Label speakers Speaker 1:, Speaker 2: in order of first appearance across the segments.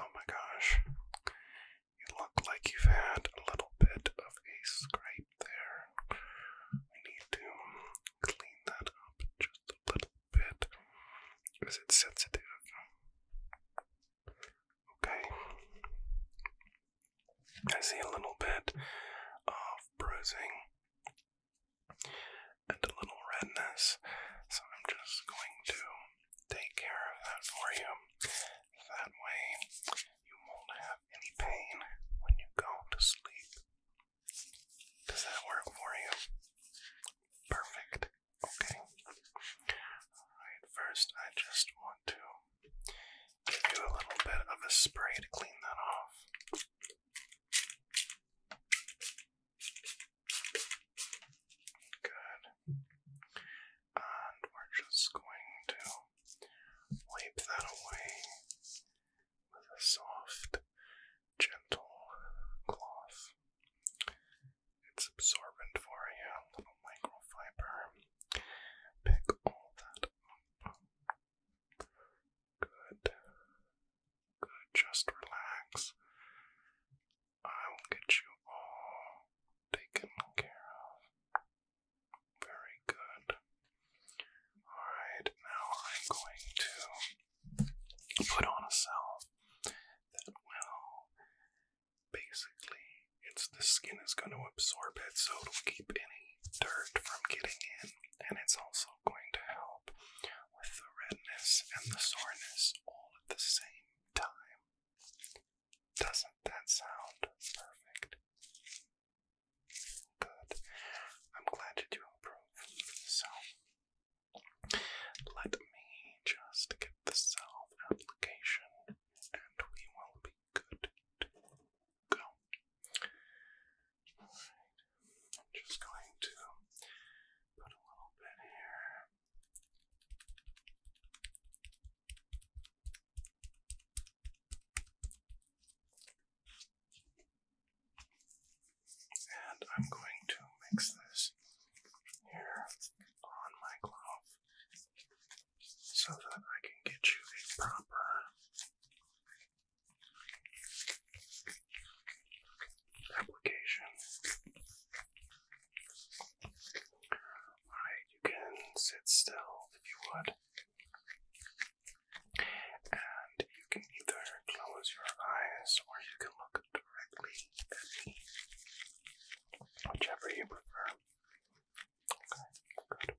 Speaker 1: Oh my gosh. You look like you've had a little bit of a scrape there. We need to clean that up just a little bit. Is it sensitive? Okay. I see a little bit of bruising and a little redness. So I'm just going to take care of that for you. That way you won't have any pain when you go to sleep. Does that work for you? Perfect. Okay. Alright, first I just want to give you a little bit of a spray to clean that off. Good. And we're just going to wipe that away with a soft, gentle cloth. It's absorbent for you, a little microfiber. Pick all that up. Good. Good, just relax. I will get you all taken care of. Very good. Alright, now I'm going to put on a cell that will basically, it's the skin is going to absorb it so it'll keep any dirt from getting in, and it's also going to help with the redness and the soreness all at the same time. Doesn't that sound perfect? Good. I'm glad you improve. So, let me just get the self application and we will be good go. I'm just going to put a little bit here. And I'm going to mix this here on my glove so that I can get you a proper application. Alright, you can sit still if you would. And you can either close your eyes or you can look directly at me. Whichever you prefer. Okay, good.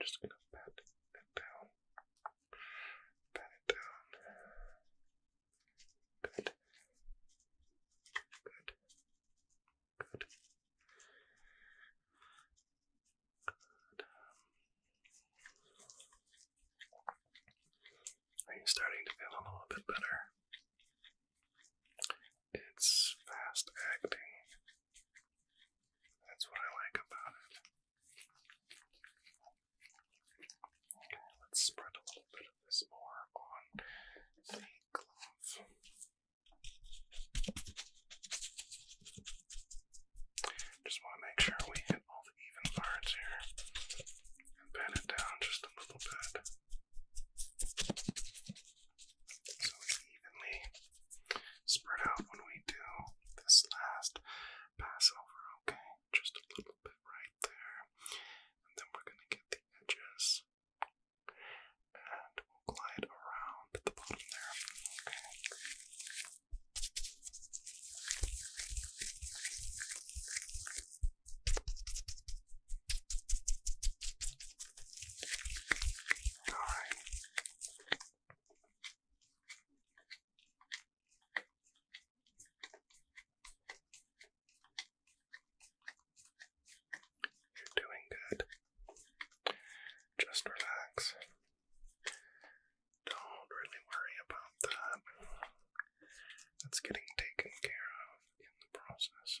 Speaker 1: Just gonna pat it down. Pat it down. Good. Good. Good. Good. Are you starting to feel a little bit better? It's fast acting that's what I like about it. Okay, let's spread a little bit of this more on the cloth. Just want to make sure we hit all the even parts here and bend it down just a little bit so it's evenly spread out when we do this last passover, okay? Just a little bit right there, and then we're going to get the edges and we'll glide around at the bottom there, All right. You're doing good. Just relax. Don't really worry about that. It's getting taken care of in the process.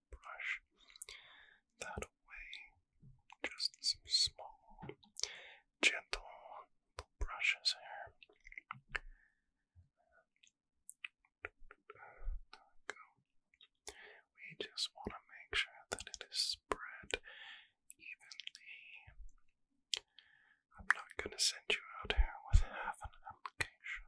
Speaker 1: just brush that away. Just some small, gentle brushes here. We just want to make sure that it is spread evenly. I'm not going to send you out here with half an application.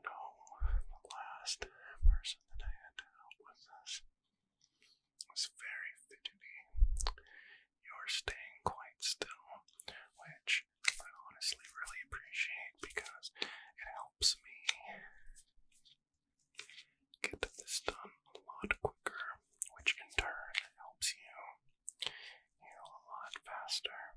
Speaker 1: No, the last person that I had to help with this was very fidgety. You're staying quite still, which I honestly really appreciate because it helps me get this done a lot quicker, which in turn helps you heal a lot faster.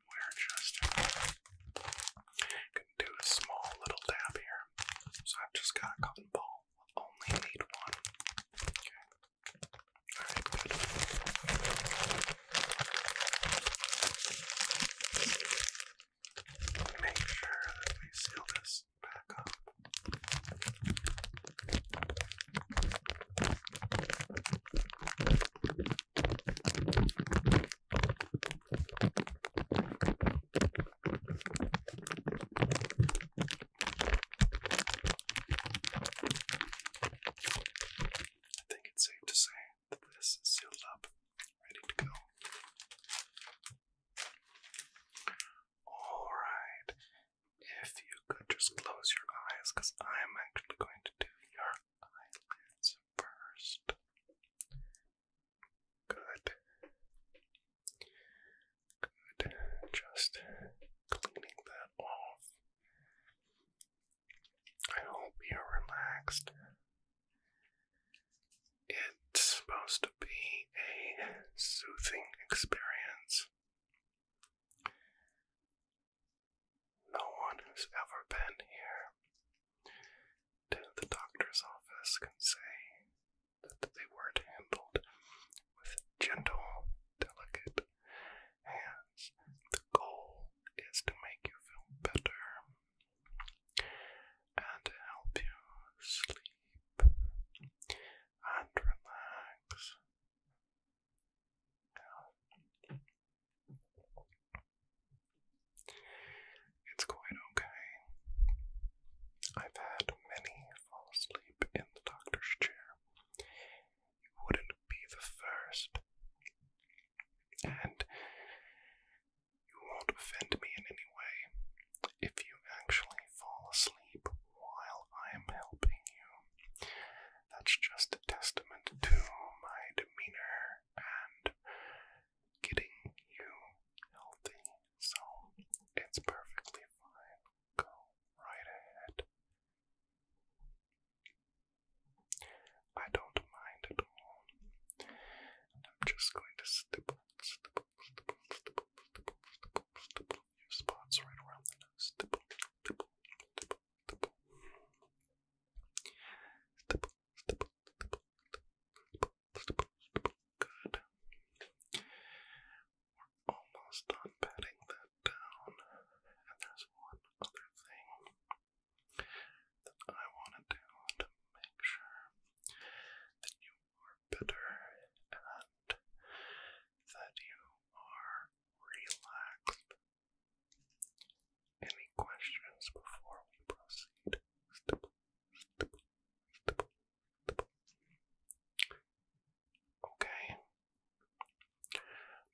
Speaker 1: we're just gonna do a small little dab here. So I've just got a cotton ball. we only need one. Okay. Make sure that we seal this back up. I think it's safe to say that this is sealed up, ready to go. Alright, if you could just close your eyes, because I'm actually going to do your eyelids first. Good. Good. Just cleaning that off. I hope you're relaxed. It's supposed to be a soothing experience. No one who's ever been here to the doctor's office can say that they weren't handled with gentle, delicate hands. The goal is to make you feel better and help you sleep and relax. It's quite okay. I've had many fall asleep in the doctor's chair. You wouldn't be the first. And you won't offend me in any way if you actually fall asleep while I am helping you. That's just a testament to my demeanor and getting you healthy. So it's perfectly fine. Go right ahead. I don't mind at all. I'm just going to stipple, stipple, stipple, stipple, stipple, stipple, stipple your spots right around the nose. Stipple, stipple, stipple, stipple. Stipple, Good. We're almost done patting that down. And there's one other thing that I want to do to make sure that you are better and that you are relaxed any questions before we proceed? Okay.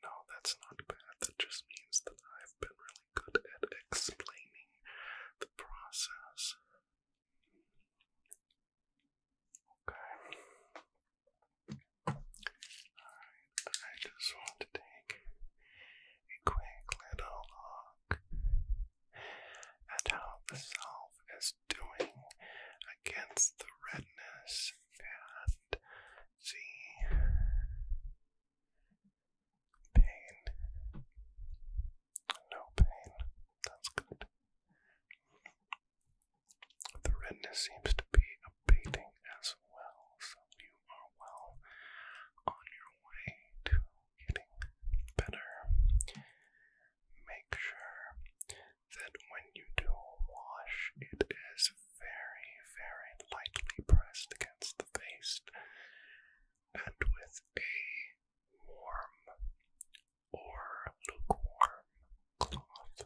Speaker 1: No, that's not bad. That just means that I've been really good at explaining the process. Okay. I just want to take a quick little look at how the self is doing against the redness and see pain. No pain. That's good. The redness seems to be updating as well, so you are well on your way to getting better. Make sure that when you do wash, it is very, very lightly pressed against the face and with a warm or lukewarm cloth.